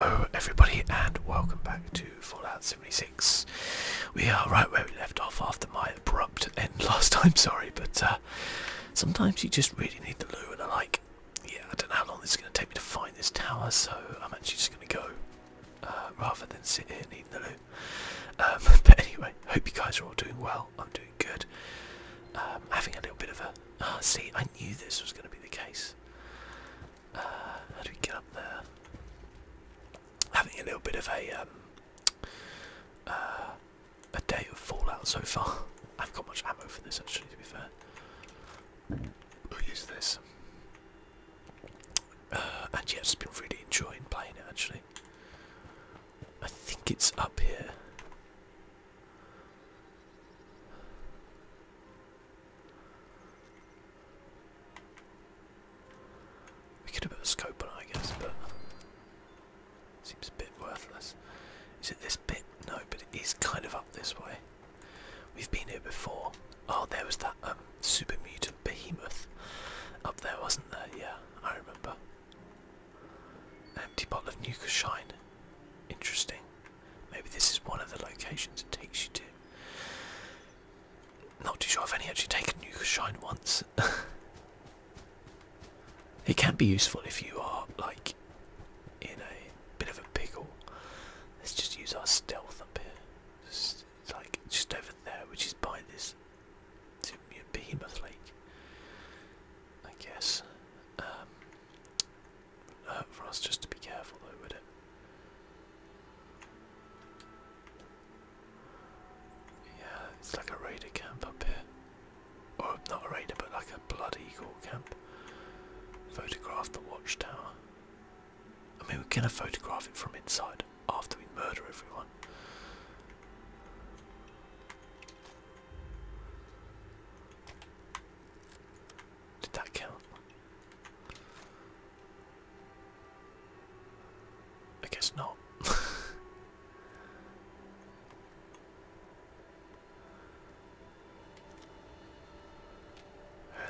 Hello everybody and welcome back to Fallout 76. We are right where we left off after my abrupt end last time, sorry, but uh, sometimes you just really need the loo and I like, yeah, I don't know how long this is going to take me to find this tower, so I'm actually just going to go uh, rather than sit here needing the loo. Um, but anyway, hope you guys are all doing well, I'm doing good. Um, having a little bit of a, ah, see, I knew this was going to be the case how do we get up there? Having a little bit of a um, uh, a day of Fallout so far. I've got much ammo for this actually. To be fair, we'll use this. and yeah, uh, just been really enjoying playing it actually. I think it's up here. We could have a scope I guess, but seems a bit worthless. Is it this bit? No, but it is kind of up this way. We've been here before. Oh, there was that um, super mutant behemoth up there, wasn't there? Yeah, I remember. empty bottle of nuka shine. Interesting. Maybe this is one of the locations it takes you to. Not too sure, I've actually taken Nuka Shine once. it can be useful if you are, like, in a bit of a pickle. Let's just use our stealth up here. it's like, just over there, which is by this Behemoth Lake. I guess. Um, uh, for us just to be careful though, would it? Yeah, it's like a raider camp up here. Or not a raider, but like a blood eagle camp. Photograph the watchtower. I mean, we're gonna photograph it from inside after we murder everyone. Did that count? I guess not. Where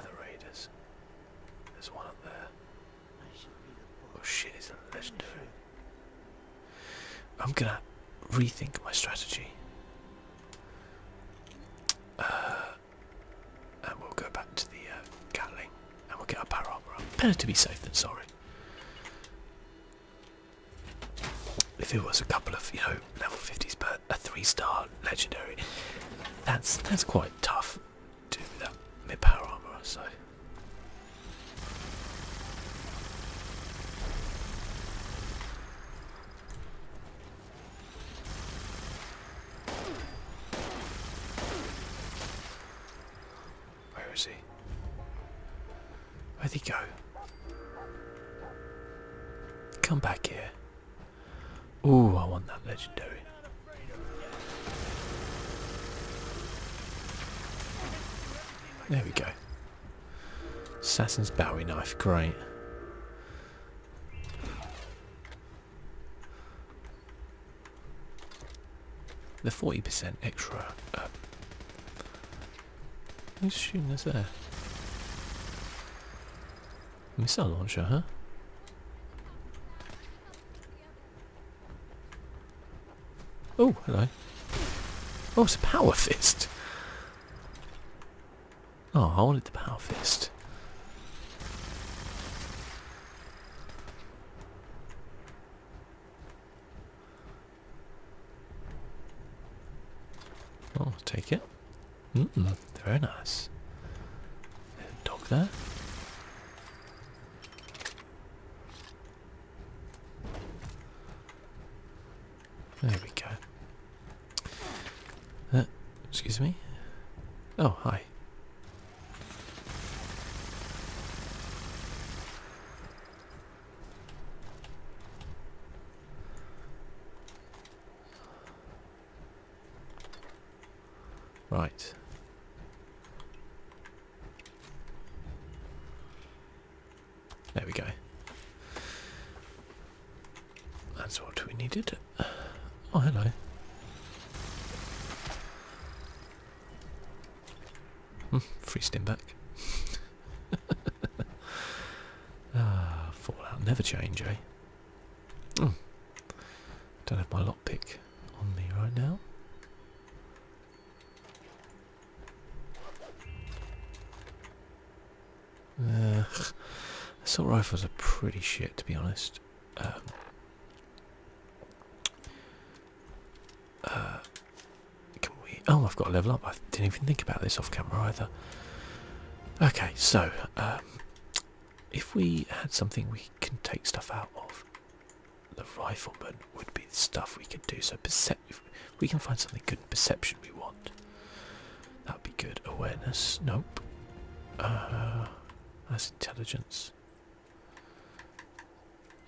the raiders? There's one up there. Oh shit, is a legendary. I'm gonna rethink my strategy. Uh, and we'll go back to the uh, Gatling and we'll get our power armor up. Better to be safe than sorry. If it was a couple of, you know, level 50s, but a three-star legendary, that's that's quite tough to do mid power armor. So. Where is he? Where'd he go? Come back here. Ooh, I want that legendary. There we go. Assassin's Bowie knife, great. The 40% extra. Uh, who's shooting us there? Missile launcher, huh? Oh, hello. Oh, it's a power fist. Oh, I wanted the power fist. Oh, take it. very nice. Dog there. There we go. Uh, excuse me. Oh, hi. Right. There we go. That's what we needed. Oh, hello. Hmm, freezed him back. ah, Fallout never change, eh? Hmm. Don't have my lockpick on me right now. Uh, assault rifles are pretty shit, to be honest. Um, uh, can we? Oh, I've got to level up. I didn't even think about this off camera either. Okay, so um, if we had something we can take stuff out of, the rifleman would be the stuff we could do. So percep we can find something good perception we want. That'd be good. Awareness. Nope. Uh, that's intelligence.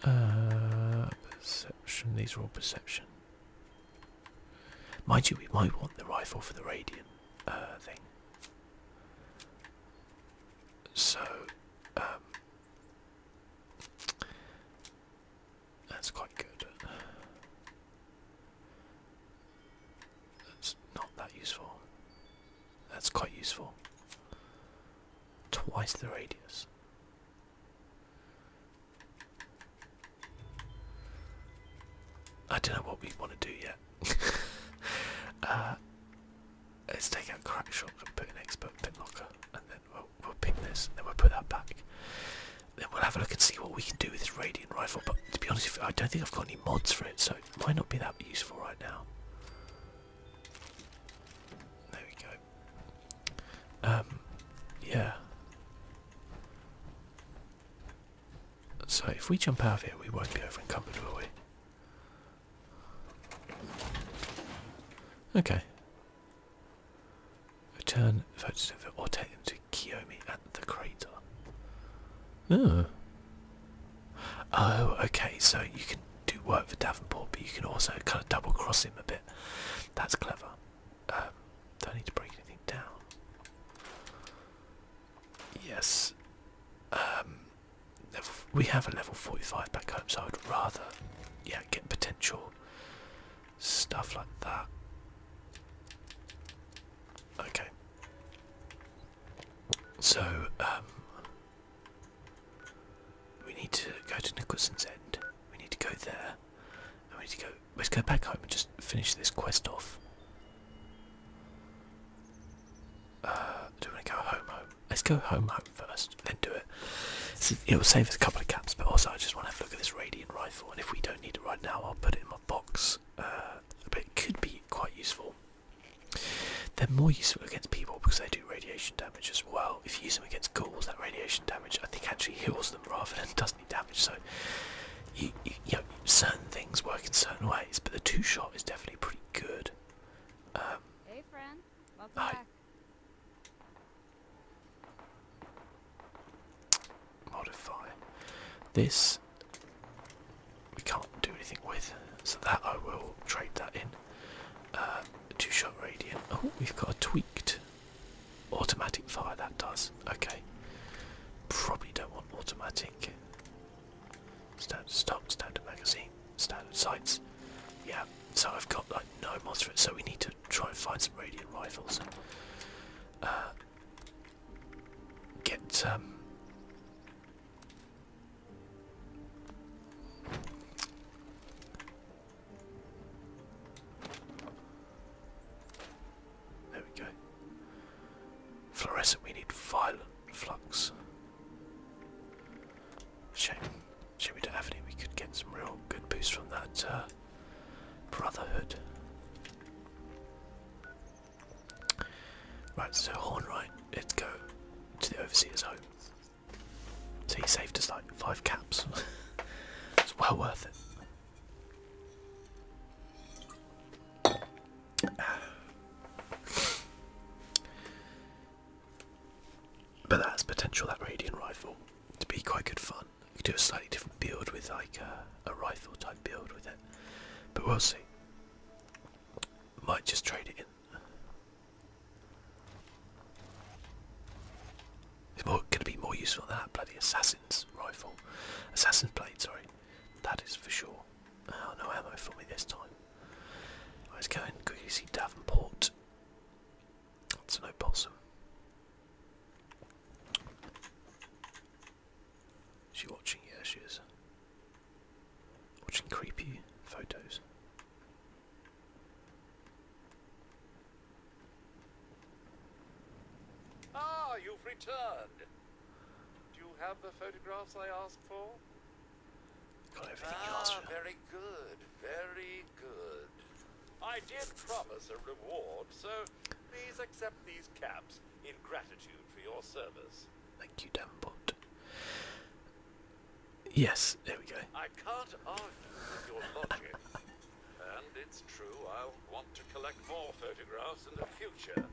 Uh, perception. These are all perception. Mind you, we might want the rifle for the radiant uh, thing. So, um, that's quite good. That's not that useful. That's quite useful. Twice the radius. I don't know what we want to do yet. Uh, let's take out crack shop and put an expert pin locker, and then we'll, we'll ping this, and then we'll put that back. Then we'll have a look and see what we can do with this radiant rifle. But to be honest, I don't think I've got any mods for it, so it might not be that useful right now. There we go. Um, yeah. So if we jump out of here, we won't be over encumbered, will we? Okay. Return voters or take them to Kiyomi at the crater. Oh. Oh, okay, so you can do work for Davenport, but you can also kind of double cross him a bit. That's clever. Um, don't need to break anything down. Yes. Um, we have a level 45 back home, so I'd rather yeah, get potential stuff like that. Okay. So, um, we need to go to Nicholson's End. We need to go there. And we need to go. Let's go back home and just finish this quest off. Uh, do we want to go home? Home. Let's go home. Home first, then do it. it will save us a couple of caps, but also I just want to have a look at this radiant rifle. And if we don't need it right now, I'll put it in my box, uh, but it could be quite useful. They're more useful against people because they do radiation damage as well. If you use them against ghouls, that radiation damage I think actually heals them rather than does any damage. So, you, know, certain things work in certain ways, but the two shot is definitely pretty good. Um, hey, friend, welcome back modify. This we can't do anything with, so that I will trade that in. Uh, two shot radiant. Oh, we've got a tweaked automatic fire that does. Okay. Probably don't want automatic. Standard stock, standard magazine, standard sights. Yeah, so I've got like no mods for it, so we need to try and find some radiant rifles. Uh, get um, there we go. Fluorescent, we need violet flux. Shame, shame we don't have any. We could get some real good boost from that uh, brotherhood. Right, so horn right, let's go to the overseer's home. So he saved us like five caps. it's well worth it. but that's potential, that radiant rifle, to be quite good fun. You could do a slightly different build with like a rifle type build with it. But we'll see. Might just trade it in. It's more gonna be more useful than that bloody assassin's rifle. Assassin's blade, sorry. That is for sure. Oh no ammo for me this time. Right, let's go and see Davenport. That's no possum. She watching? Yeah, she is. Watching creepy photos. Ah, you've returned. Do you have the photographs I asked for? Got everything you asked ah, for. very good, very good. I did promise a reward, so Please accept these caps in gratitude for your service. Thank you, Davenport. Yes, there we go. I can't argue with your logic. and it's true I'll want to collect more photographs in the future.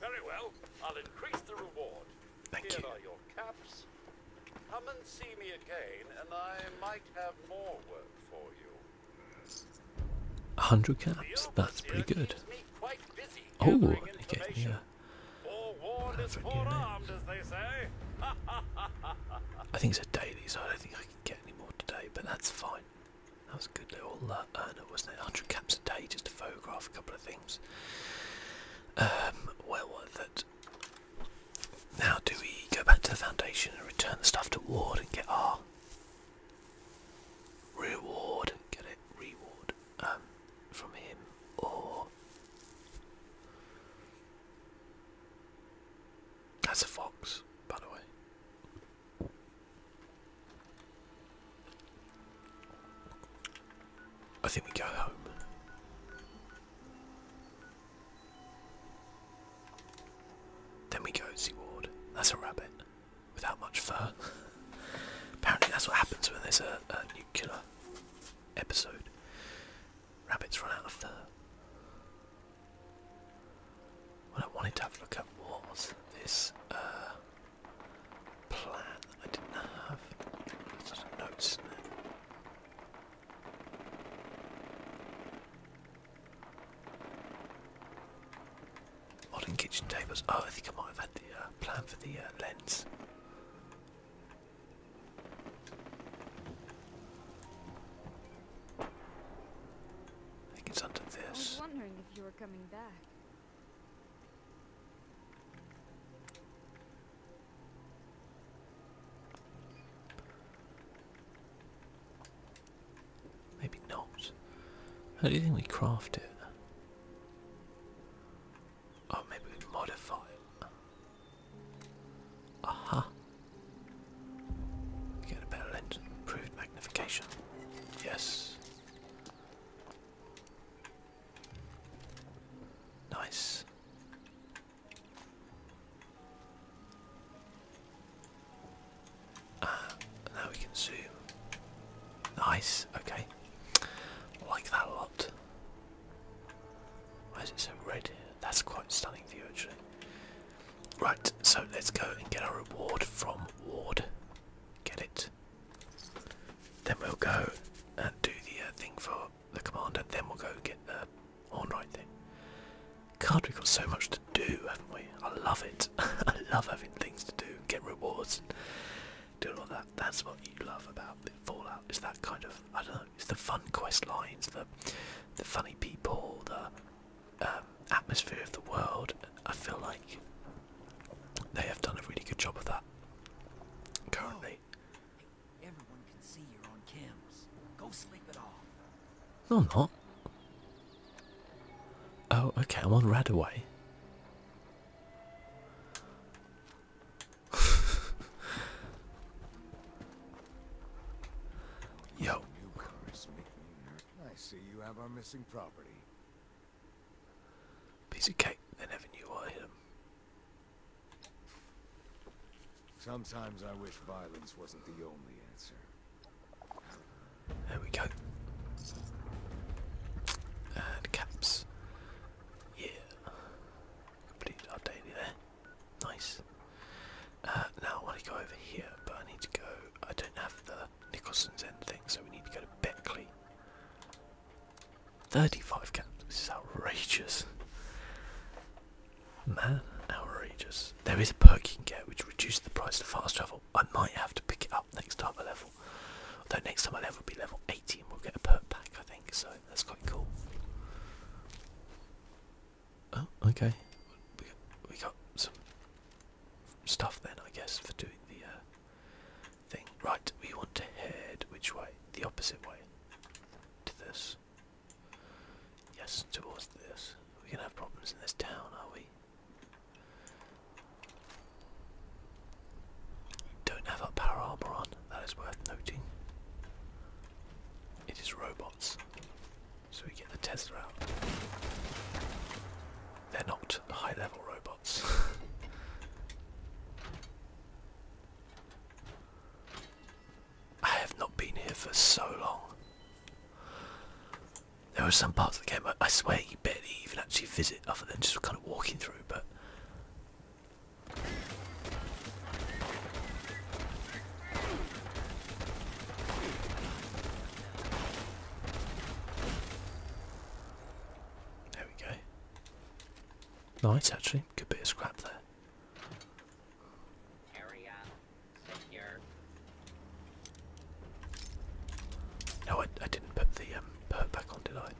Very well, I'll increase the reward. Here are your caps. Come and see me again, and I might have more work for you. 100 caps, that's pretty good. Oh, okay, yeah. Perfect I think it's a daily, so I don't think I can get any more today, but that's fine. That was a good little uh, earner, wasn't it? 100 caps a day just to photograph a couple of things. Um, well worth Now, do we go back to the foundation and return the stuff to Ward and get R? reward, get it, reward, um, from him, or that's a fox, by the way. I think we go home. Then we go see That's a rabbit without much fur. Apparently, that's what happens when there's a, a nuclear episode. Rabbits run out of fur. What I wanted to have a look at was this uh, plan I didn't have. notes Modern kitchen tables. Oh, I think I might have had the uh, plan for the uh, lens. I think it's under this. I was wondering if you were coming back. Maybe not. How do you think we craft it? Oh, maybe we modify it. Aha! Get a better lens improved magnification. Yes. Nice. Ah, now we can zoom. Nice, okay. Like that a lot. Why is it so red That's quite stunning view actually. Right, so let's go and get our reward from Ward. Get it. Then we'll go and do the uh, thing for the commander. Then we'll go get the on right thing. God, we've got so much to do, haven't we? I love it. I love having things to do, get rewards, and do all that. That's what you love about Fallout. It's that kind of I don't know. It's the fun quest lines, the the funny people, the um, atmosphere of the world. I feel like they have done a really good job of that currently. Go sleep it off. No, I'm not. Oh, okay, I'm on Radaway. Yo. I see you have our missing property. Piece of cake, they never knew I am. Sometimes I wish violence wasn't the only answer. There we go. And caps. Yeah. Completed our daily there. Nice. Uh, now I want to go over here, but I need to go. I don't have the Nicholson's End thing, so we need to go to Beckley. 35 caps. This is outrageous. Man, outrageous. There is a perk you can get which reduces the price to fast travel. I might have to pick it up next time I level. Although next time I level will be level 80 and we'll get a perk pack I think, so that's quite cool. Oh, okay. We got, some stuff then I guess for doing the uh, thing. Right, we want to head which way? The opposite way. To this. Yes, towards this. We're gonna have problems in this town, are we? Don't have our power armor on, that is worth noting. It is robots. So we get the Tesla out. They're not high level robots. I have not been here for so long. There are some parts of the game I, I swear you barely even actually visit other than just kind of walking through, but. There we go. Nice, actually. Good bit of scrap there. No, I, didn't put the um, back on, did I?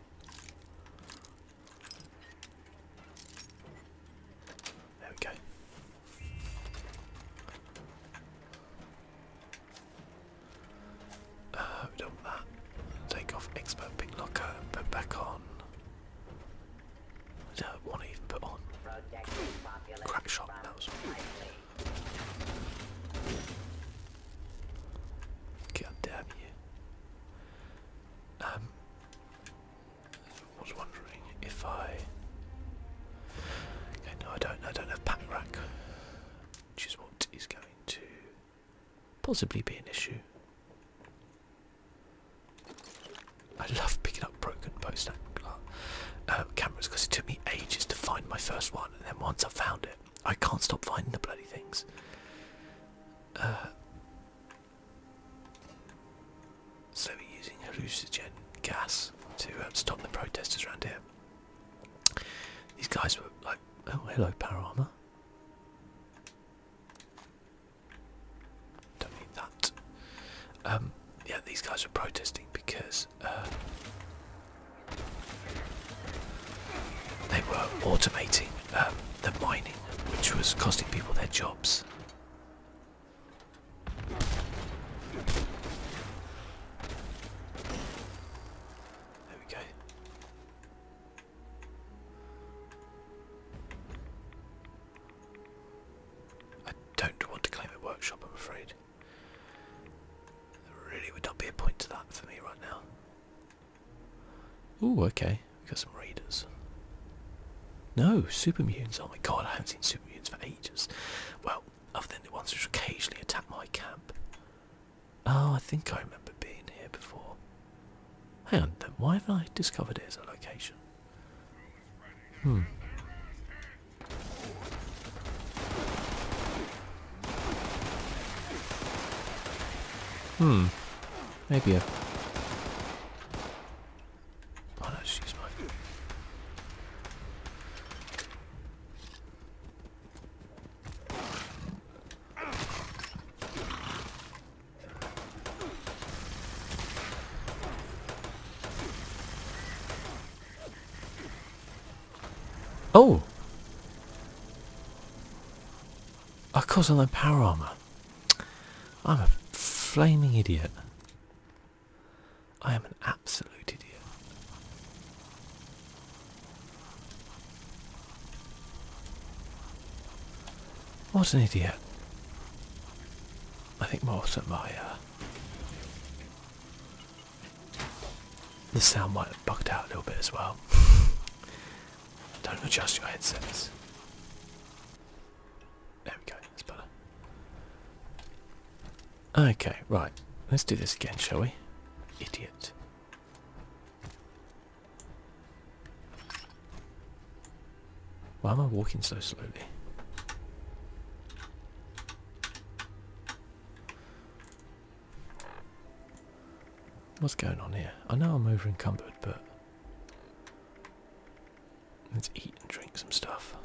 There we go. Uh, we do that. Take off expert pick locker put back on. I don't want to even put on. Crack shot, that God damn you. Um, I was wondering if I Okay no I don't I don't have pack rack. Which is what is going to possibly be an issue. I love picking up broken post uh, cameras because it took me ages to find my first one and then once i found it, I can't stop finding the bloody things. Uh, so we're using hallucinogen gas uh, to stop the protesters around here. These guys were like, oh hello power armor. Don't need that. Um, yeah, these guys were protesting because uh, they were automating um, the mining, which was costing people their jobs. There we go. I don't want to claim a workshop, I'm afraid. There really would not be a point to that for me right now. Oh, okay. We got some raiders. No, super mutants. Oh my god, I haven't seen super mutants for ages. Well, other than the ones which occasionally attack my camp. Oh, I think I remember being here before. Hang on, then why have I discovered it as a location? Hmm. Hmm. Maybe a... Oh no, she's mine. Oh! Of course, I'm power armor. I'm a flaming idiot. I am an absolute idiot. What an idiot. I think more than my uh, the sound might have bucked out a little bit as well. Don't adjust your headsets. There we go, that's better. Okay, right. Let's do this again, shall we? Idiot. Why am I walking so slowly? What's going on here? I know I'm overencumbered, but let's eat and drink some stuff.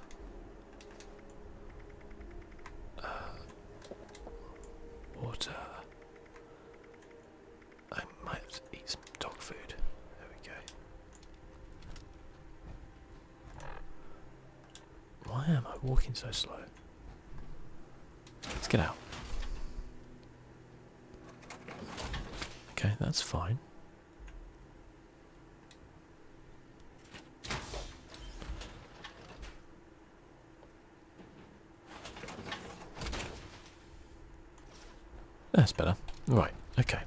Uh, water. I might eat some dog food. There we go. Why am I walking so slow? Let's get out. Okay, that's fine. That's better. Right, okay.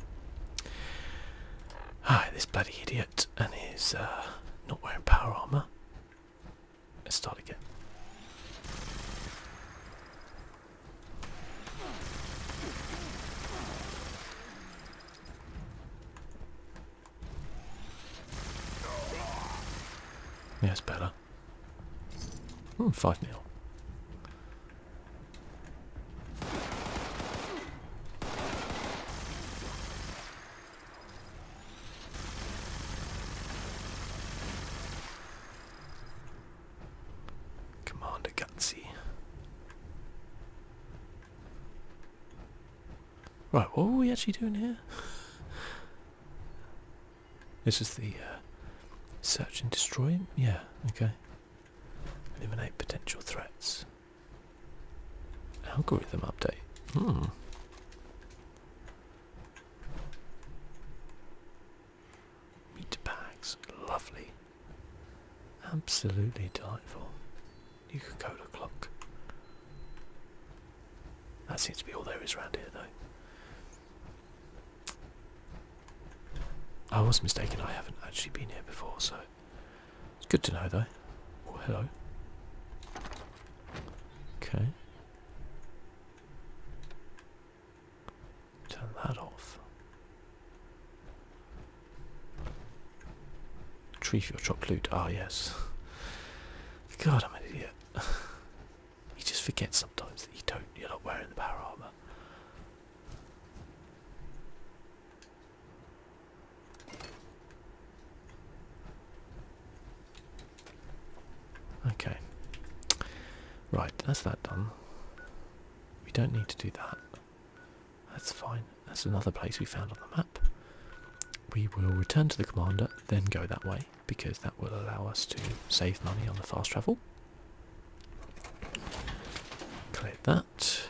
Ah, this bloody idiot and he's uh, not wearing power armor. Let's start again. Yeah, it's better. Hmm, 5 0. Commander Gutsy. Right, what were we actually doing here? this is the uh, search and destroy. Yeah, okay. Eliminate potential threats. Algorithm update. Hmm. Meat bags. Lovely. Absolutely delightful. Coca-Cola clock. That seems to be all there is around here though. I was mistaken, I haven't actually been here before, so it's good to know though. hello. Okay. Turn that off. Tree for your chopped loot. Ah, yes. God, I'm an idiot. you just forget sometimes that you don't. You're not wearing the power armor. Okay. Right, that's that done. We don't need to do that. That's fine. That's another place we found on the map. We will return to the commander, then go that way, because that will allow us to save money on the fast travel. Clear that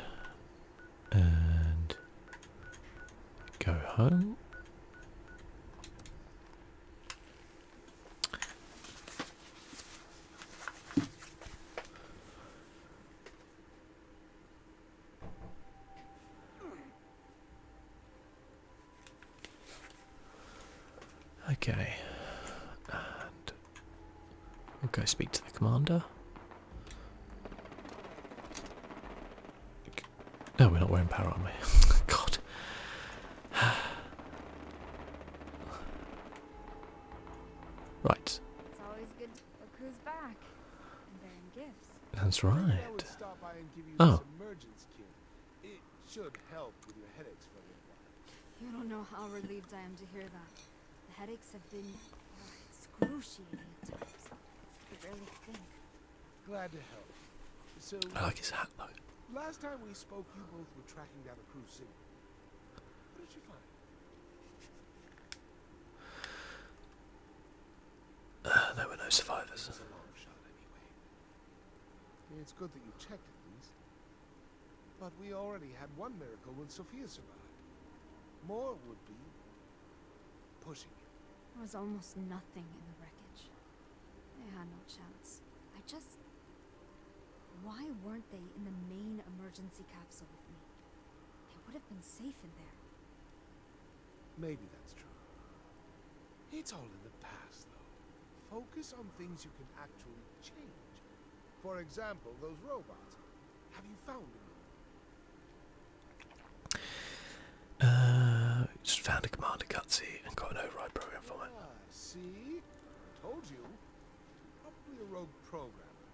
and go home. Okay, and go speak to the commander. No, we're not wearing power armor. God. right. It's always good a crew's back and bearing gifts. That's right. Oh. you don't know how relieved I am to hear that. The headaches have been uh, excruciating at times. Glad to help. I like his hat though. Last time we spoke, you both were tracking down a cruise ship. What did you find? Uh, there were no survivors. It's good that you checked at least. But we already had one miracle when Sophia survived. More would be Pushing There was almost nothing in the wreckage. They had no chance. I just... Why weren't they in the main emergency capsule with me? They would have been safe in there. Maybe that's true. It's all in the past, though. Focus on things you can actually change. For example, those robots. Have you found them? Uh, just found a command commander cutscene and got an override program for it. Ah, see, told you, probably a rogue programmer,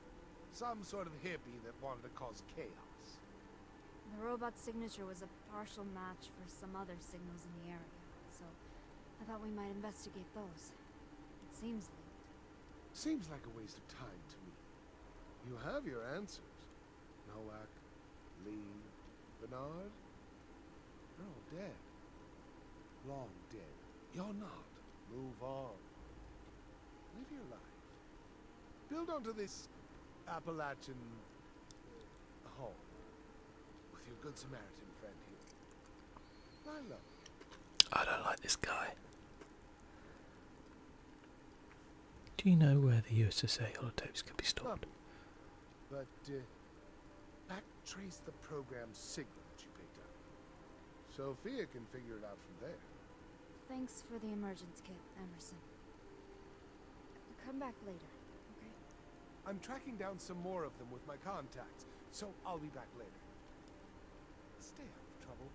some sort of hippie that wanted to cause chaos. The robot's signature was a partial match for some other signals in the area, so I thought we might investigate those. It seems linked. Seems like a waste of time to me. You have your answers, Nowak, Lee, Bernard? They're all dead. Long dead. You're not. Move on. Live your life. Build onto this Appalachian home with your Good Samaritan friend here. I love I don't like this guy. Do you know where the USSA holotopes can be stored? But uh, the program signal that you picked up. Sophia can figure it out from there. Thanks for the emergence kit, Emerson. Come back later, okay? I'm tracking down some more of them with my contacts, so I'll be back later. Stay out of trouble.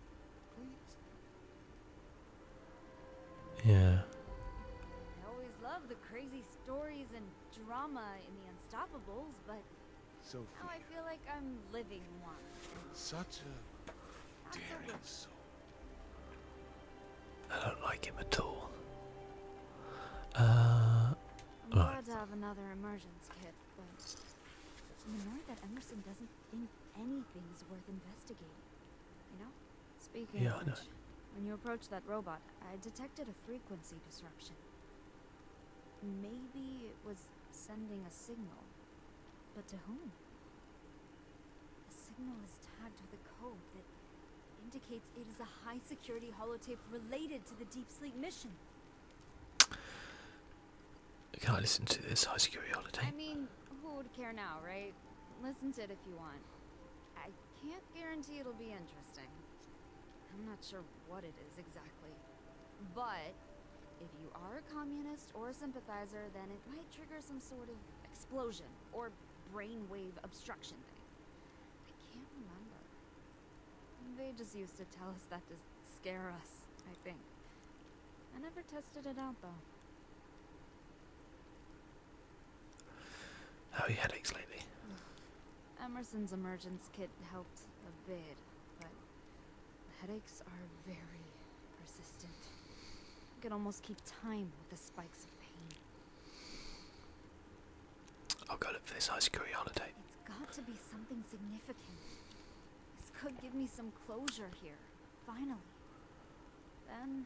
Yeah. I always love the crazy stories and drama in the Unstoppables, but Sophia. now I feel like I'm living one. Such a daring soul. I don't like him at all. Uh, I'm glad to have another emergence kit, but the more that Emerson doesn't think is worth investigating. You know? Speaking when you approached that robot, I detected a frequency disruption. Maybe it was sending a signal. But to whom? The signal is tagged with a code that indicates it is a high security holotape related to the Deep Sleep mission. Can I listen to this high security holotape? I mean, who would care now, right? listen to it if you want. I can't guarantee it'll be interesting. I'm not sure what it is exactly. But if you are a communist or a sympathizer, then it might trigger some sort of explosion or brainwave obstruction thing. I can't remember. They just used to tell us that to scare us, I think. I never tested it out though. How are your headaches lately? Emerson's emergence kit helped a bit, but headaches are very persistent. I could almost keep time with the spikes of pain. I'll go look for this high security holiday. It's got to be something significant. This could give me some closure here. Finally. Then,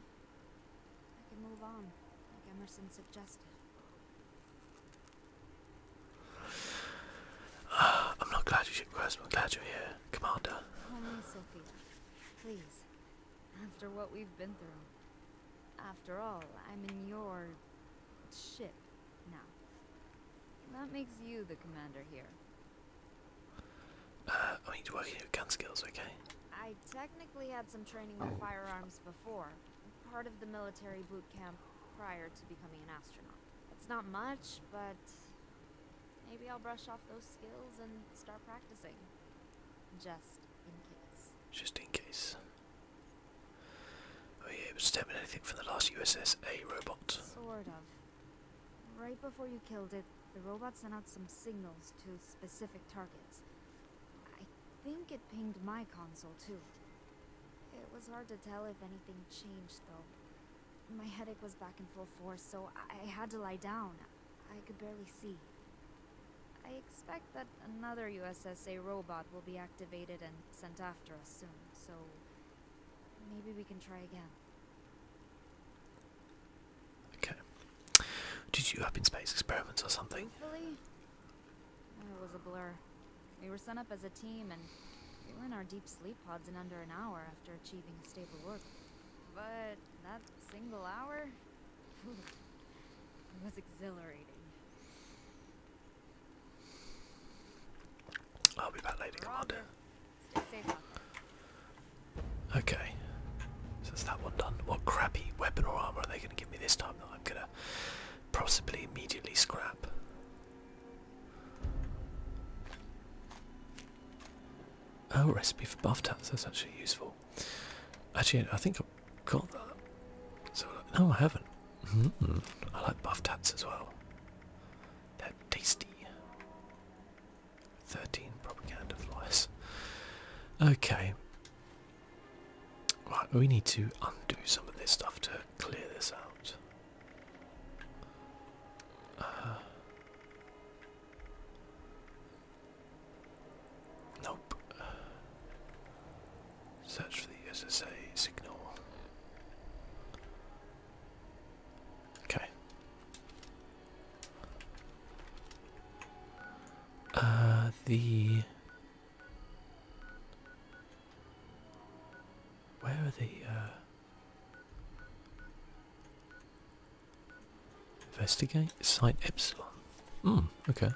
I can move on, like Emerson suggested. I'm not glad you are here, Commander. Call me Sophia, please. After what we've been through. After all, I'm in your... ship now. That makes you the commander here. Uh, I need to work on your gun skills, okay? I technically had some training with oh. firearms before, part of the military boot camp prior to becoming an astronaut. It's not much, but maybe I'll brush off those skills and start practicing. Just in case. Just in case. Oh yeah, it was determine anything from the last USS A robot? Sort of. Right before you killed it, the robot sent out some signals to specific targets. I think it pinged my console, too. It was hard to tell if anything changed, though. My headache was back in full force, so I had to lie down. I could barely see. I expect that another USSA robot will be activated and sent after us soon, so... Maybe we can try again. Okay. Did you up in space experiments or something? It was a blur. We were sent up as a team and we were in our deep sleep pods in under an hour after achieving a stable orbit. But that single hour it was exhilarating. I'll be back later, Commander. Okay. So that one done. What crappy weapon or armor are they going to give me this time that I'm going to possibly immediately scrap? Oh, recipe for buff tats. That's actually useful. Actually, I think I've got that. no, I haven't. Mm-hmm. I like buff tats as well. They're tasty. Thirteen propaganda flyers. Okay. Right, we need to undo some of this stuff to clear this out. Uh, nope. Search for the SSA signal. Okay. Uh, the. Where are the. Uh, investigate? Site Epsilon. Hmm, okay.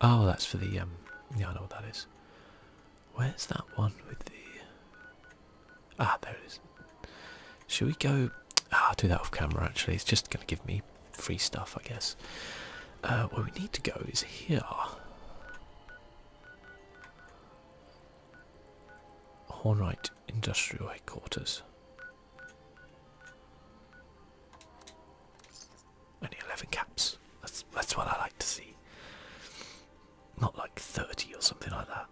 Oh, that's for the. Um, yeah, I know what that is. Where's that one with the. Ah, there it is. Should we go? Ah, do that off camera actually. It's just going to give me free stuff, I guess. Uh, where we need to go is here. Hornite Industrial Headquarters. Only 11 caps. That's, that's what I like to see. Not like 30 or something like that.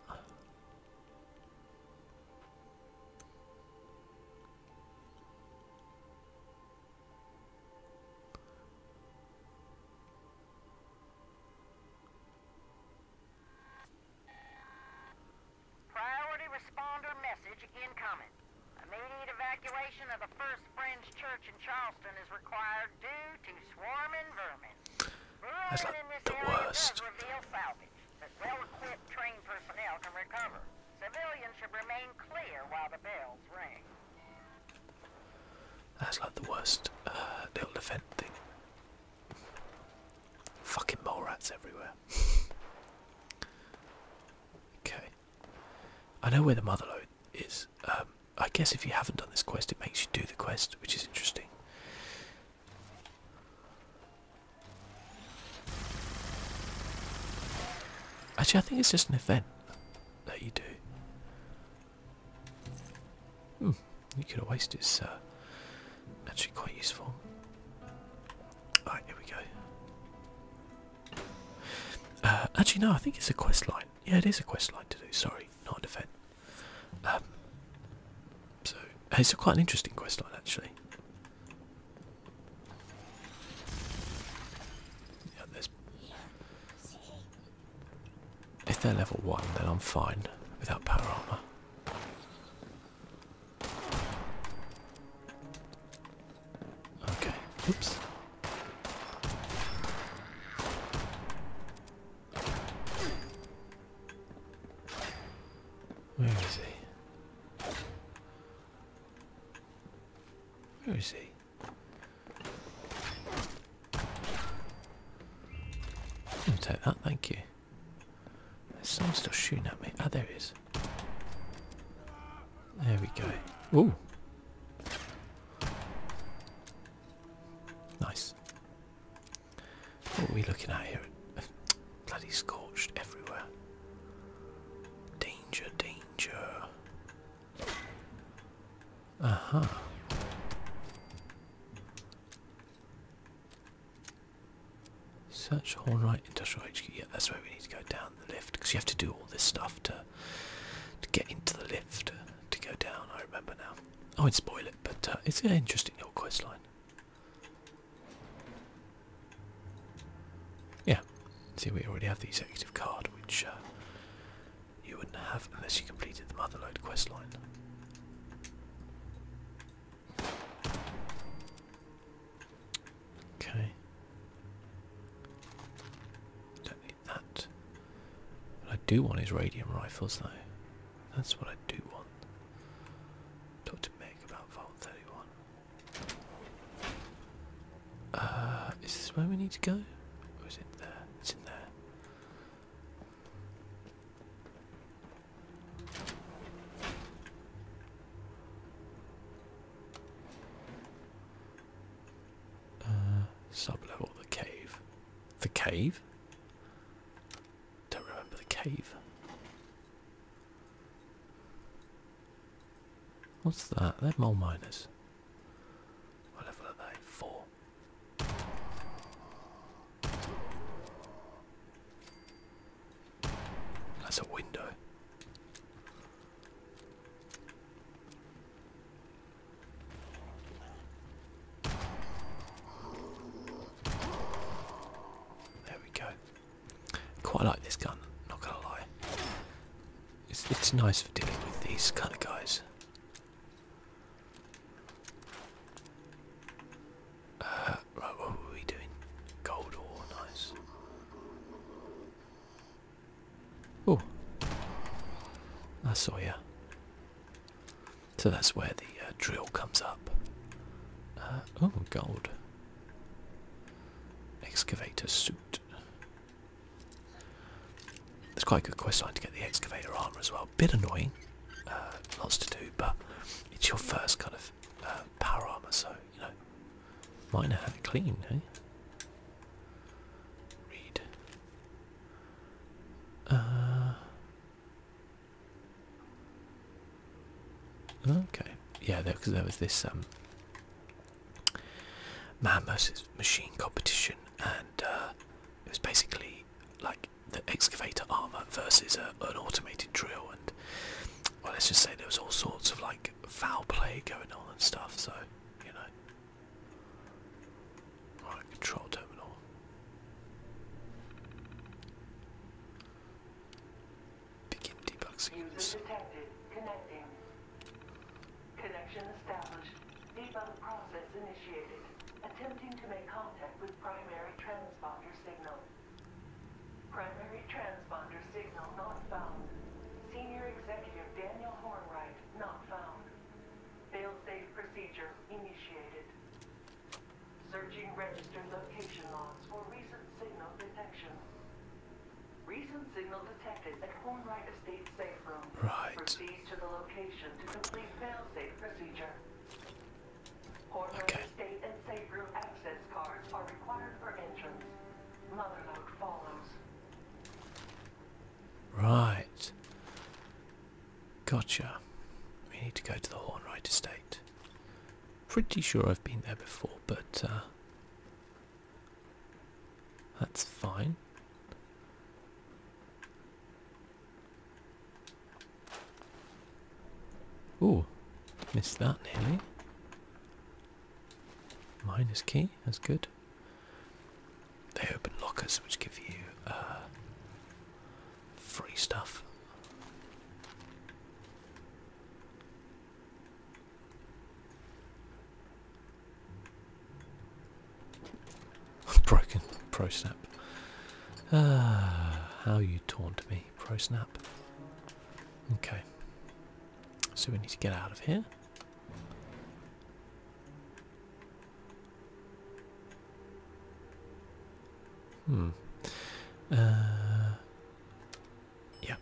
Immediate evacuation of the First Friends Church in Charleston is required due to swarming vermin. That's not the worst. That's like the worst uh, little event thing. Fucking mole rats everywhere. okay. I know where the mother lode is. Um, I guess if you haven't done this quest, it makes you do the quest, which is interesting. Actually, I think it's just an event that you do. Hmm, you could have wasted, uh, actually quite useful. Alright, here we go. Uh, actually, no, I think it's a quest line. Yeah, it is a quest line to do. Sorry, not an event. Um, so it's a quite an interesting quest line actually. if they're level one, then I'm fine without power armor. Okay. Oops. Where is he? Where is he? take that, thank you. There's someone still shooting at me. Ah, there he is. There we go. Ooh. Nice. What are we looking at here? Bloody scorched everywhere. Danger, danger. Aha. Uh -huh. Search Hornwright Industrial HQ. Yeah, that's where we need to go down the lift because you have to do all this stuff to to get into the lift to go down. I remember now. I would spoil it, but uh, it's an interesting little quest line. Yeah, see we already have the executive card, which uh, you wouldn't have unless you completed the motherload questline. Okay. Don't need that. What I do want is radium rifles though. That's what I do want. Talk Meg about Vault 31. Uh, is this where we need to go? Or is it there? It's in there. Uh, sub level, the cave. The cave? Don't remember the cave. What's that? They're mole miners. What level are they? Four. That's a window. There we go. Quite like this gun, not gonna lie. It's it's nice for dealing with these kind of guys. Uh, right, what were we doing? Gold ore, nice. Oh, I saw you. So that's where the uh, drill comes up. Uh, oh, god! Excavator suit. It's quite a good quest line to get the excavator armor as well. Bit annoying, uh, lots to do, but it's your first kind of power armor, so you know, might not have it clean, eh? Read. Uh, Okay, yeah, because there was this um, man versus machine competition, and uh, it was basically like the excavator armor versus uh, an automated drill, and well, let's just say there was all sorts of like foul play going on and stuff. So you know, right, control terminal. Begin debugsing Connection established. Debug process initiated. Attempting to make contact with primary transponder signal. Primary transponder signal not found. Senior Executive Daniel Hornwright not found. Fail-safe procedure initiated. Searching registered location logs for recent signal detection. Recent signal detected at Hornwright Estate Safe Room. Proceed to the location to complete fail-safe procedure. Hornwright Estate and Safe Room access cards are required for entrance. Motherlode follows. Right. Gotcha. We need to go to the Hornwright Estate. Pretty sure I've been there before, but uh, that's fine. Oh, missed that nearly. Minus key, that's good. They open lockers which give you uh, free stuff. Broken pro snap. Ah, how you taunt me, pro snap. Okay. So we need to get out of here. Hmm. Uh, yeah.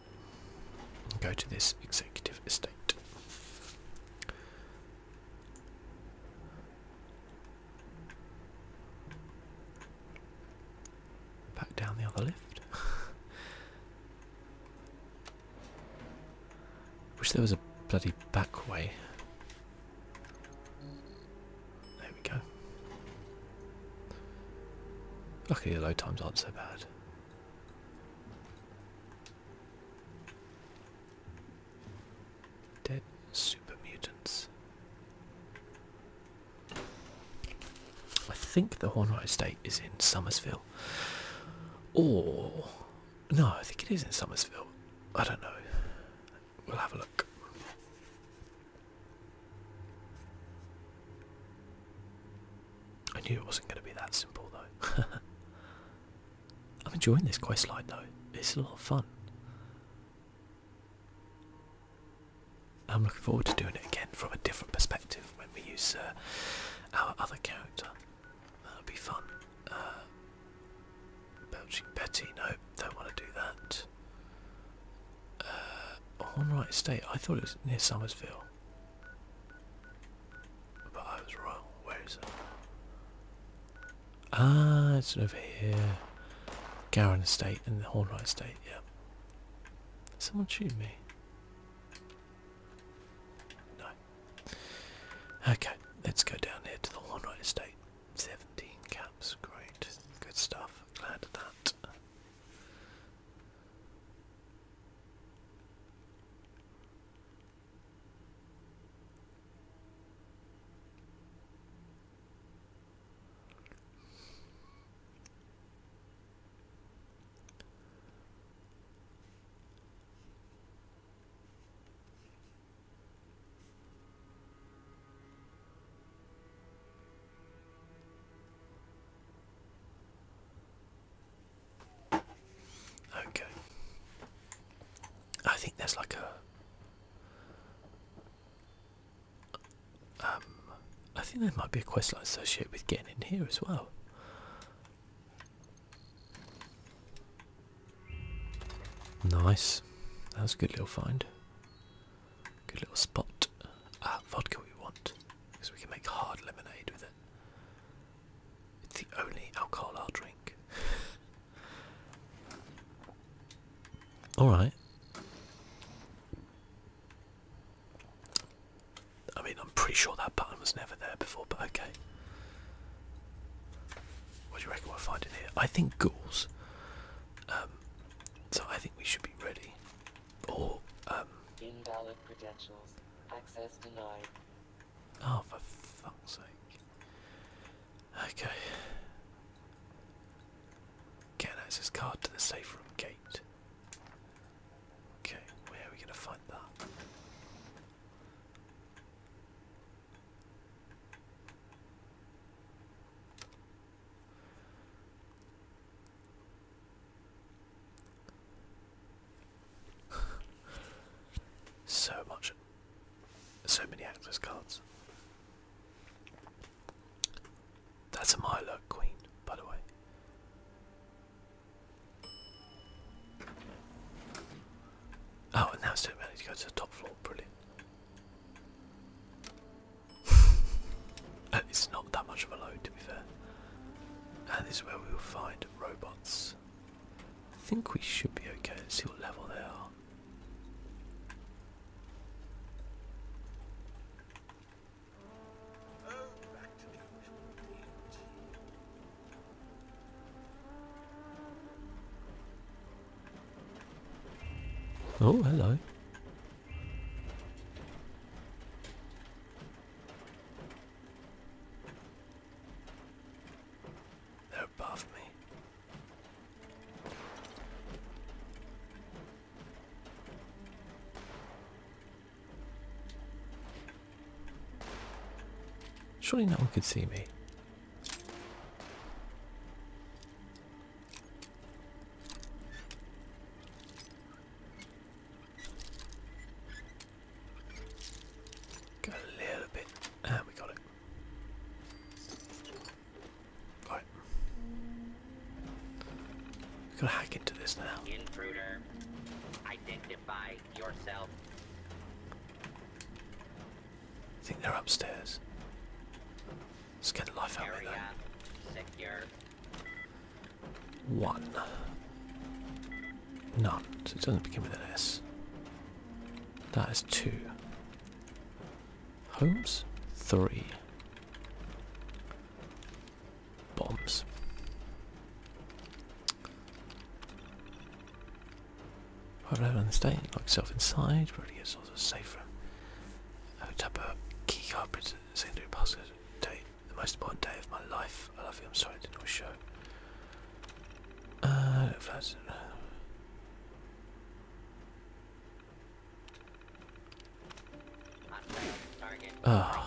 Go to this executive estate. Back down the other lift. Wish there was a bloody back way. There we go. Luckily the load times aren't so bad. Dead super mutants. I think the Hornwright Estate is in Somersville. Or no, I think it is in Somersville. I don't know. We'll have a look. I knew it wasn't going to be that simple though. I'm enjoying this quest line though. It's a lot of fun. I'm looking forward to doing it again from a different perspective when we use uh, our other character. That'll be fun. Uh, Belching Betty, no, don't want to do that. Uh, Hornwright Estate, I thought it was near Somersville. But I was wrong, where is it? Ah, it's over here. Gowran Estate and the Hornwright Estate, yeah. Someone shoot me. No. Okay, let's go down here to the Hornwright Estate. Seventeen caps, great, good stuff. Glad of that. Okay. I think there's like a. Um, I think there might be a quest I associate with getting in here as well. Nice. That was a good little find. Good little spot. Ah, vodka we want, because we can make hard lemonade with it. It's the only alcohol I'll drink. Alright. I mean, I'm pretty sure that button was never there before, but okay. What do you reckon we'll find in here? I think ghouls. Um, so I think we should be ready. Or um, Invalid credentials. Access denied. Oh, for fuck's sake. Okay. Get an access card to the safe room gate. Okay, where are we gonna find that? so much, so many access cards. That's a Milo Queen, by the way. Oh, and now it's doing me to go to the top floor. Brilliant. Uh, it's not that much of a load, to be fair. And this is where we will find robots. I think we should be okay. Let's see what level they are. Oh, hello. They're above me. Surely no one could see me a little bit, and ah, we got it. Right. We've got to hack into this now. Intruder, identify yourself. I think they're upstairs. Let's get the life out of me though. One. None. So it doesn't begin with an S. That is two. Holmes, Three. Bombs. Arrive on the state, lock yourself inside, really gets also safer. I hooked up a key card printed secondary password date. The most important day of my life. I love you, I'm sorry I didn't show. Uh if Oh. Ah.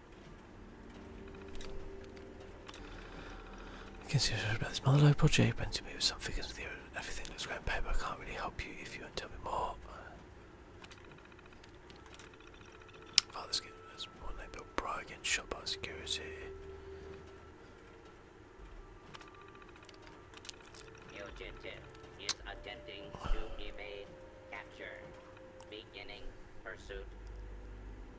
You can see about this monologue project, but to me with some figures with everything that's great on paper. I can't really help you if you want to tell me more. Oh, this game is one they built prior against shot by security. Fugitive is attempting to evade capture. Beginning pursuit.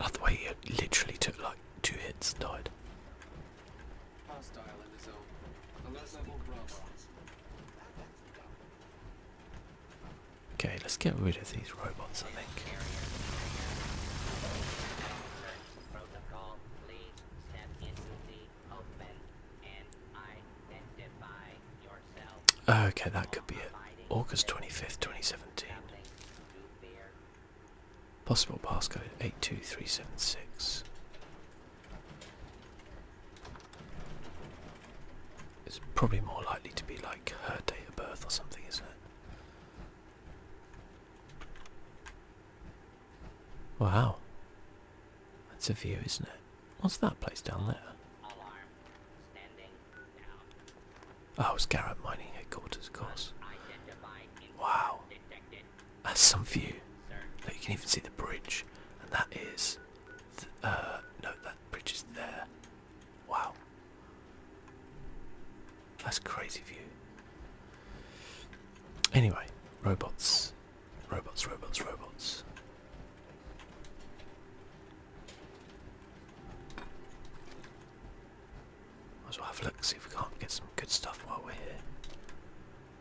I the way he literally took like two hits and died. Okay, let's get rid of these robots, I think. Okay, that could be it. August 25th, 2017. Possible passcode 82376. It's probably more likely to be like her date of birth or something, isn't it? Wow. That's a view, isn't it? What's that place down there? Oh, it's Garrett Mining Headquarters, of course. Wow. That's some view. you can even see the bridge. And that is... Uh, no, that bridge is there. Wow. That's crazy view. Anyway, robots. Robots, robots, robots. Might as well have a look, see if we can't get some good stuff while we're here.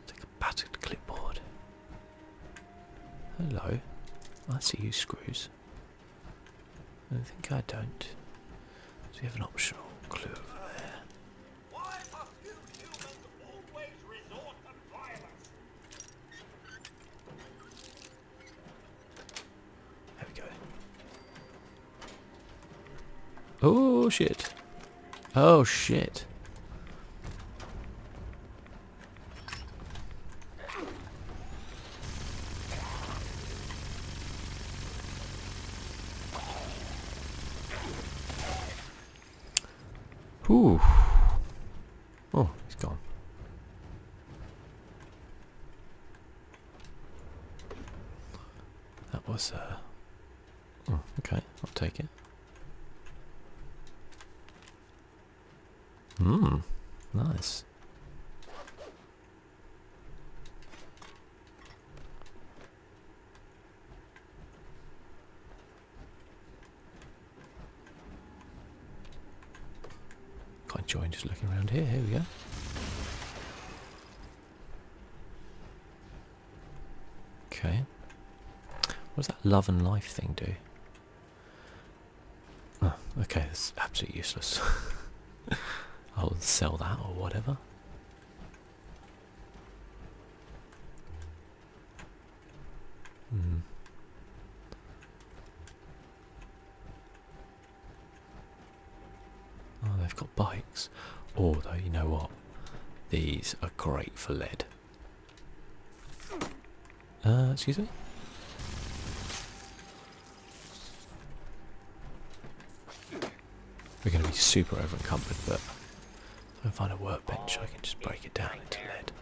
Take a battered clipboard. Hello. I see you screws. I think I don't. So we have an optional clue over there. There we go. Oh shit. Oh shit. Whew. Oh, he's gone. That was, uh... Oh, okay, I'll take it. Hmm, nice. Can't join. just looking around here. Here we go. Okay. What does that love and life thing do? Oh, okay, it's absolutely useless. I'll sell that or whatever. Mm-hmm. Oh, they've got bikes. Although, you know what? These are great for lead. Uh, excuse me? We're going to be super over encumbered, but if I find a workbench, I can just break it down into lead.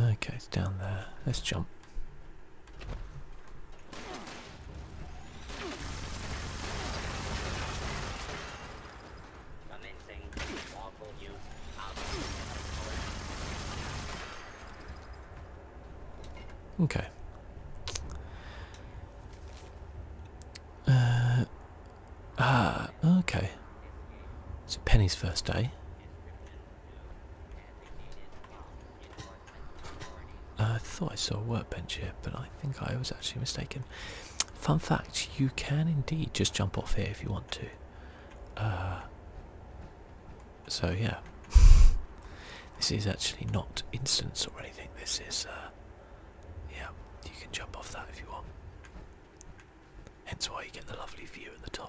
Okay, it's down there. Let's jump. Okay. Uh, ah, okay. So Penny's first day. Uh, I thought I saw a workbench here, but I think I was actually mistaken. Fun fact, you can indeed just jump off here if you want to. Uh, so yeah, this is actually not instance or anything, this is, uh, yeah, you can jump off that if you want. Hence why you get the lovely view at the top.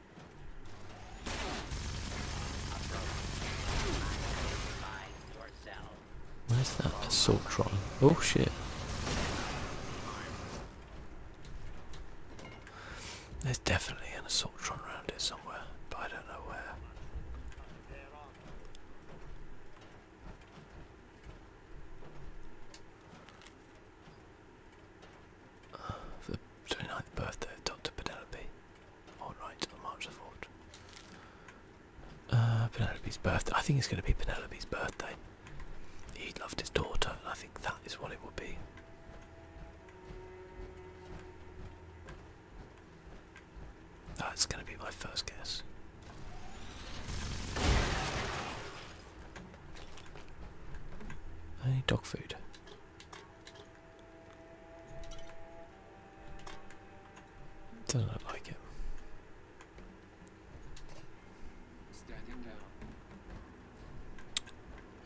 Where's that Assaultron? Oh shit. There's definitely an Assaultron around here somewhere, but I don't know where. The 29th birthday of Dr. Penelope. Alright, oh, on the 4th. Uh, Penelope's birthday. I think it's going to be Penelope's birthday. He loved his daughter, and I think that is what it will be. That's going to be my first guess. I need dog food. Doesn't look like it.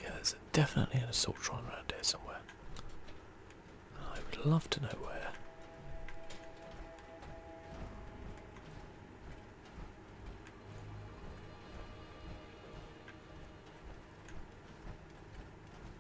Yeah, there's definitely an assaultron around here somewhere. I would love to know where.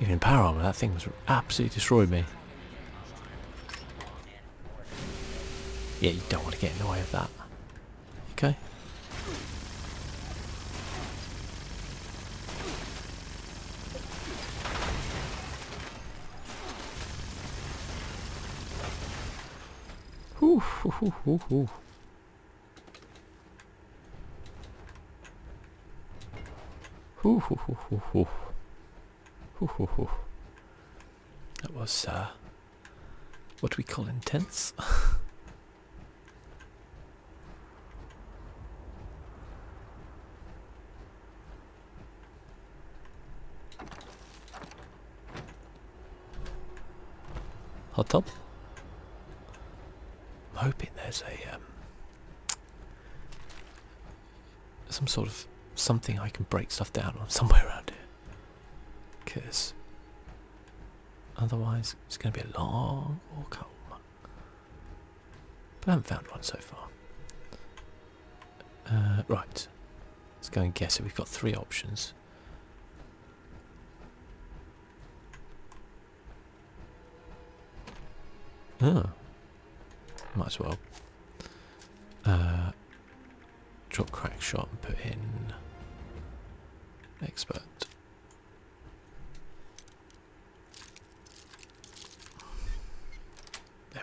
Even in power armor, that thing was absolutely destroyed me. Yeah, you don't want to get in the way of that. Okay. Hoo hoo hoo hoo hoo. Hoo hoo That was uh, what we call intense. Hot tub. I'm hoping there's a um, some sort of something I can break stuff down on somewhere around here, because otherwise it's going to be a long walk home. But I haven't found one so far. Uh, right, let's go and guess it. We've got three options. Oh. Might as well. Uh, drop crack shot and put in expert. There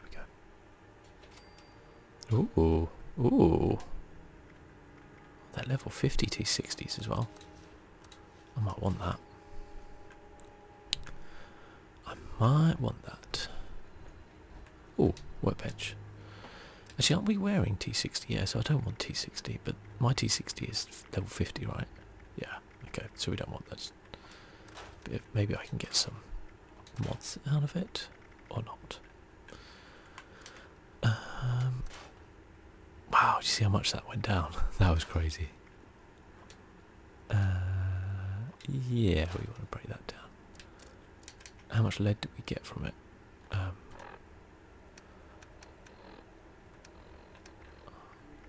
we go. Ooh, ooh. That level 50 to 60s as well. I might want that. I might want that. Oh, workbench. Actually, aren't we wearing T60? Yeah, so I don't want T60, but my T60 is level 50, right? Yeah, okay, so we don't want those. Maybe I can get some mods out of it, or not. Um, wow, you see how much that went down? that was crazy. Uh, yeah, we want to break that down. How much lead did we get from it? Um,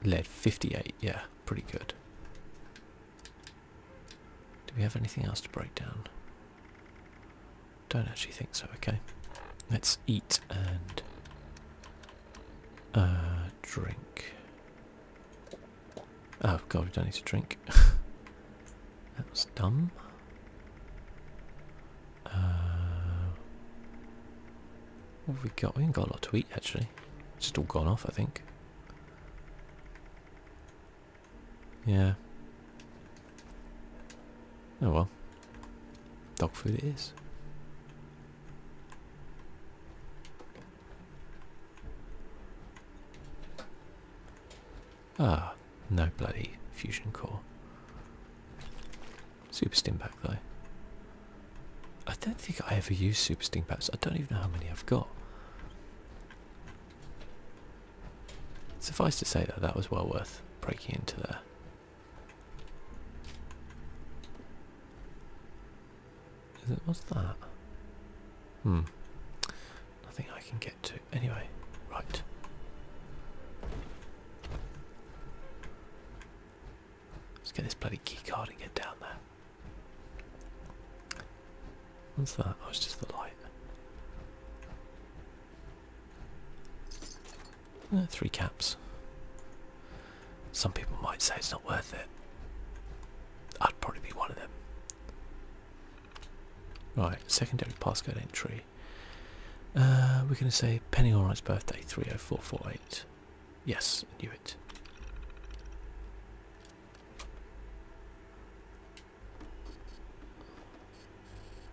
lead 58, yeah, pretty good. Do we have anything else to break down? Don't actually think so, okay. Let's eat and uh, drink. Oh god, we don't need to drink. that was dumb. Uh, what have we got? We ain't got a lot to eat actually. It's just all gone off, I think. Yeah. Oh well. Dog food it is. Ah, no bloody fusion core. Super sting pack though. I don't think I ever used super sting packs. I don't even know how many I've got. Suffice to say that that was well worth breaking into there. Is it, what's that? Hmm. Nothing I can get to. Anyway, right. Let's get this bloody keycard and get down there. What's that? Oh, it's just the light. Uh, three caps. Some people might say it's not worth it. I'd probably be one of them. Right, secondary passcode entry. Uh, we're going to say Penny Allright's birthday, 30448. Yes, I knew it.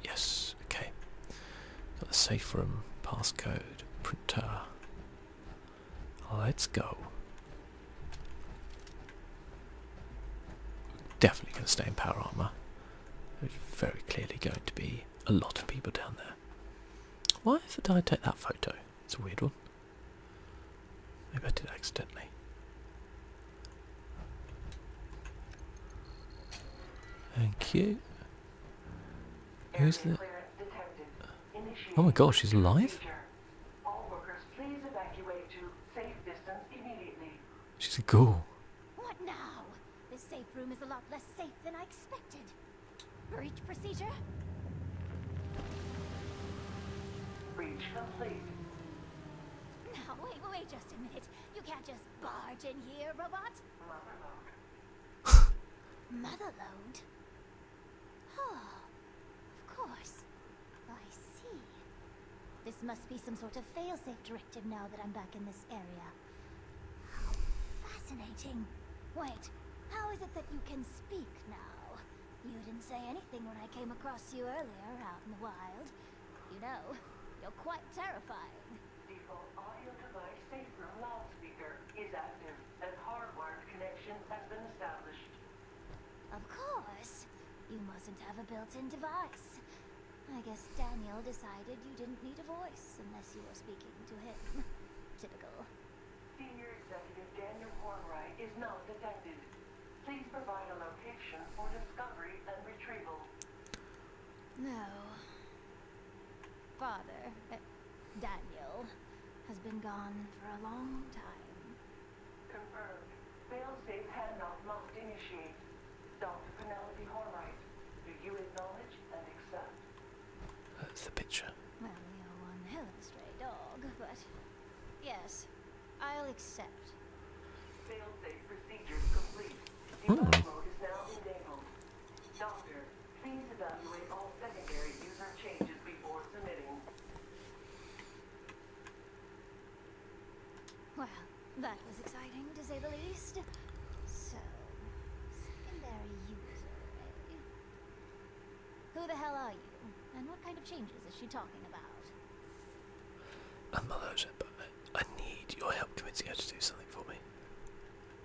Yes, okay. Got the safe room, passcode, printer, Let's go. Definitely going to stay in power armor. There's very clearly going to be a lot of people down there. Why did I take that photo? It's a weird one. I I it accidentally. Thank you. Who's the... Oh my gosh, she's alive? She's a ghoul. What now? This safe room is a lot less safe than I expected. Breach procedure? Breach complete. Now, wait, wait, just a minute. You can't just barge in here, robot. Motherlode? Oh, of course. I see. This must be some sort of failsafe directive now that I'm back in this area. How fascinating. Wait, how is it that you can speak now? You didn't say anything when I came across you earlier out in the wild. You know, you're quite terrifying. Default audio device safe room loudspeaker is active. An hardwired connection has been established. Of course. You mustn't have a built-in device. I guess Daniel decided you didn't need a voice unless you were speaking to him. Typical. Senior Executive Daniel Hornwright is now detected. Please provide a location for discovery and retrieval. No father, uh, Daniel, has been gone for a long time. Confirmed. Failsafe handoff must initiate. Dr. Penelope Hornright, do you acknowledge and accept? That's the picture. Well, you're one hell of a stray dog, but yes, I'll accept. Failsafe procedures complete. Debug hmm. mode is now enabled. Doctor, Please evaluate all secondary user changes before submitting. Well, that was exciting, to say the least. So, secondary user, eh? Who the hell are you? And what kind of changes is she talking about? I'm not but I, need your help to her to do something for me.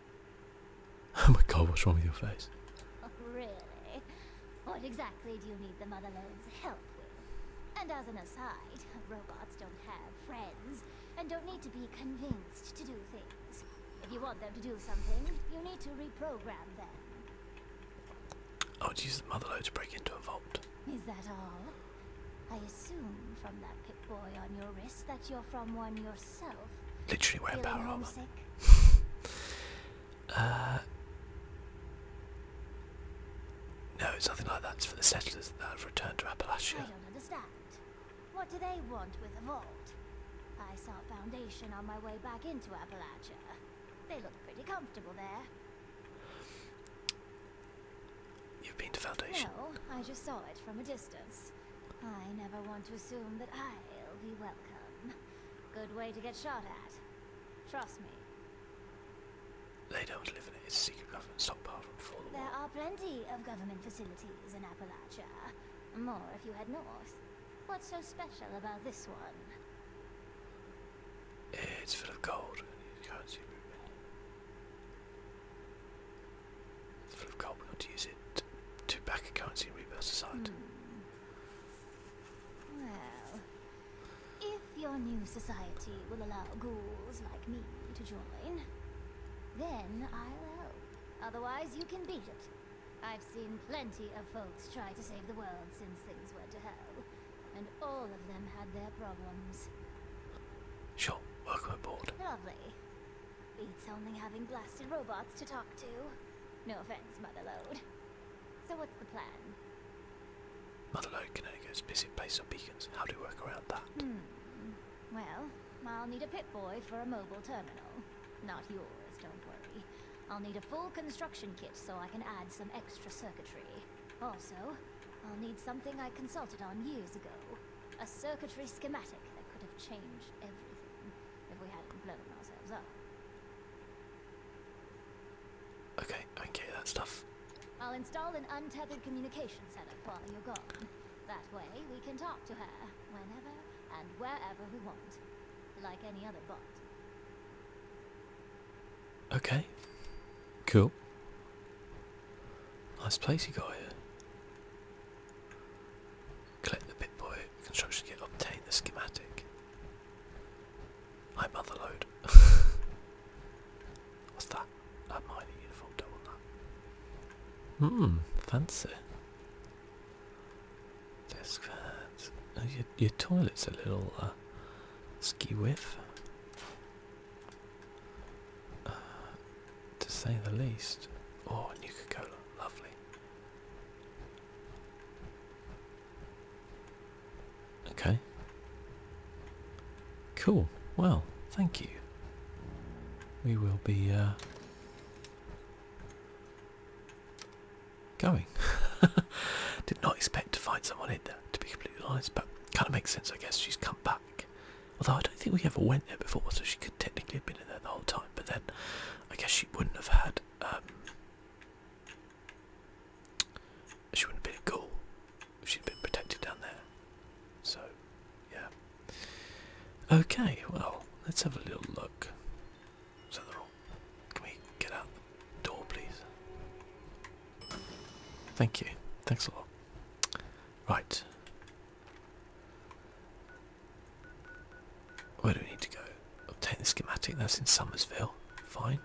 Oh my god, what's wrong with your face? Oh, really? What exactly do you need the Motherload's help with? And as an aside, robots don't have friends and don't need to be convinced to do things. If you want them to do something, you need to reprogram them. Oh, would use the Motherload to break into a vault. Is that all? I assume from that pip boy on your wrist that you're from one yourself. Literally wearing power armor. Uh, no, it's nothing like that. It's for the settlers that have returned to Appalachia. I don't understand. What do they want with the vault? I saw a foundation on my way back into Appalachia. They look pretty comfortable there. You've been to Foundation? No, I just saw it from a distance. I never want to assume that I'll be welcome. Good way to get shot at. Trust me. They don't live in it. It's a secret government stockpile from before There are plenty of government facilities in Appalachia. More if you head north. What's so special about this one? It's full of gold it's full of gold. We ought to use it to back a currency and rebuild society. Hmm. Well, if your new society will allow ghouls like me to join, then I'll help. Otherwise, you can beat it. I've seen plenty of folks try to save the world since things went to hell, and all of them had their problems. Sure, welcome aboard. Lovely. Beats only having blasted robots to talk to. No offense, Motherlode. So what's the plan? can't go Canogo's busy base on beacons. How do we work around that? Hmm. Well, I'll need a pitboy for a mobile terminal. Not yours, don't worry. I'll need a full construction kit so I can add some extra circuitry. Also, I'll need something I consulted on years ago. A circuitry schematic that could have changed everything if we hadn't blown ourselves up. Okay, okay, that stuff. I'll install an untethered communication setup while you're gone. That way we can talk to her whenever and wherever we want, like any other bot. Okay, cool. Nice place you got here. Collect the boy construction kit, obtain the schematic. High motherload. What's that? That mining uniform, don't that. Mmm, fancy. Desk oh, your, toilet's a little uh, ski whiff. Uh, to say the least. Oh, Nuka Cola, lovely. Okay. Cool. Well, thank you. We will be uh, going. Did not expect to find someone in there, to be completely honest, but kind of makes sense, I guess. She's come back. Although I don't think we ever went there before, so she could technically have been in there the whole time. But then I guess she wouldn't have had. Um, she wouldn't have been a goal if she'd been protected down there. So, yeah. Okay, well, let's have a little look. So they're all. Can we get out the door, please? Thank you. Thanks a lot. Right. Where do we need to go? Obtain the schematic, that's in Summersville. Fine.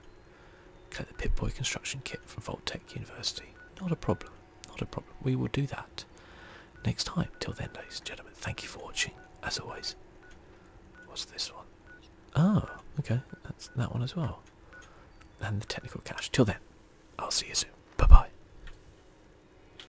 Collect the Pitboy construction kit from Tech University. Not a problem. Not a problem. We will do that next time. Till then, ladies and gentlemen, thank you for watching. As always. What's this one? Oh, okay. That's that one as well. And the technical cache. Till then, I'll see you soon. Bye bye.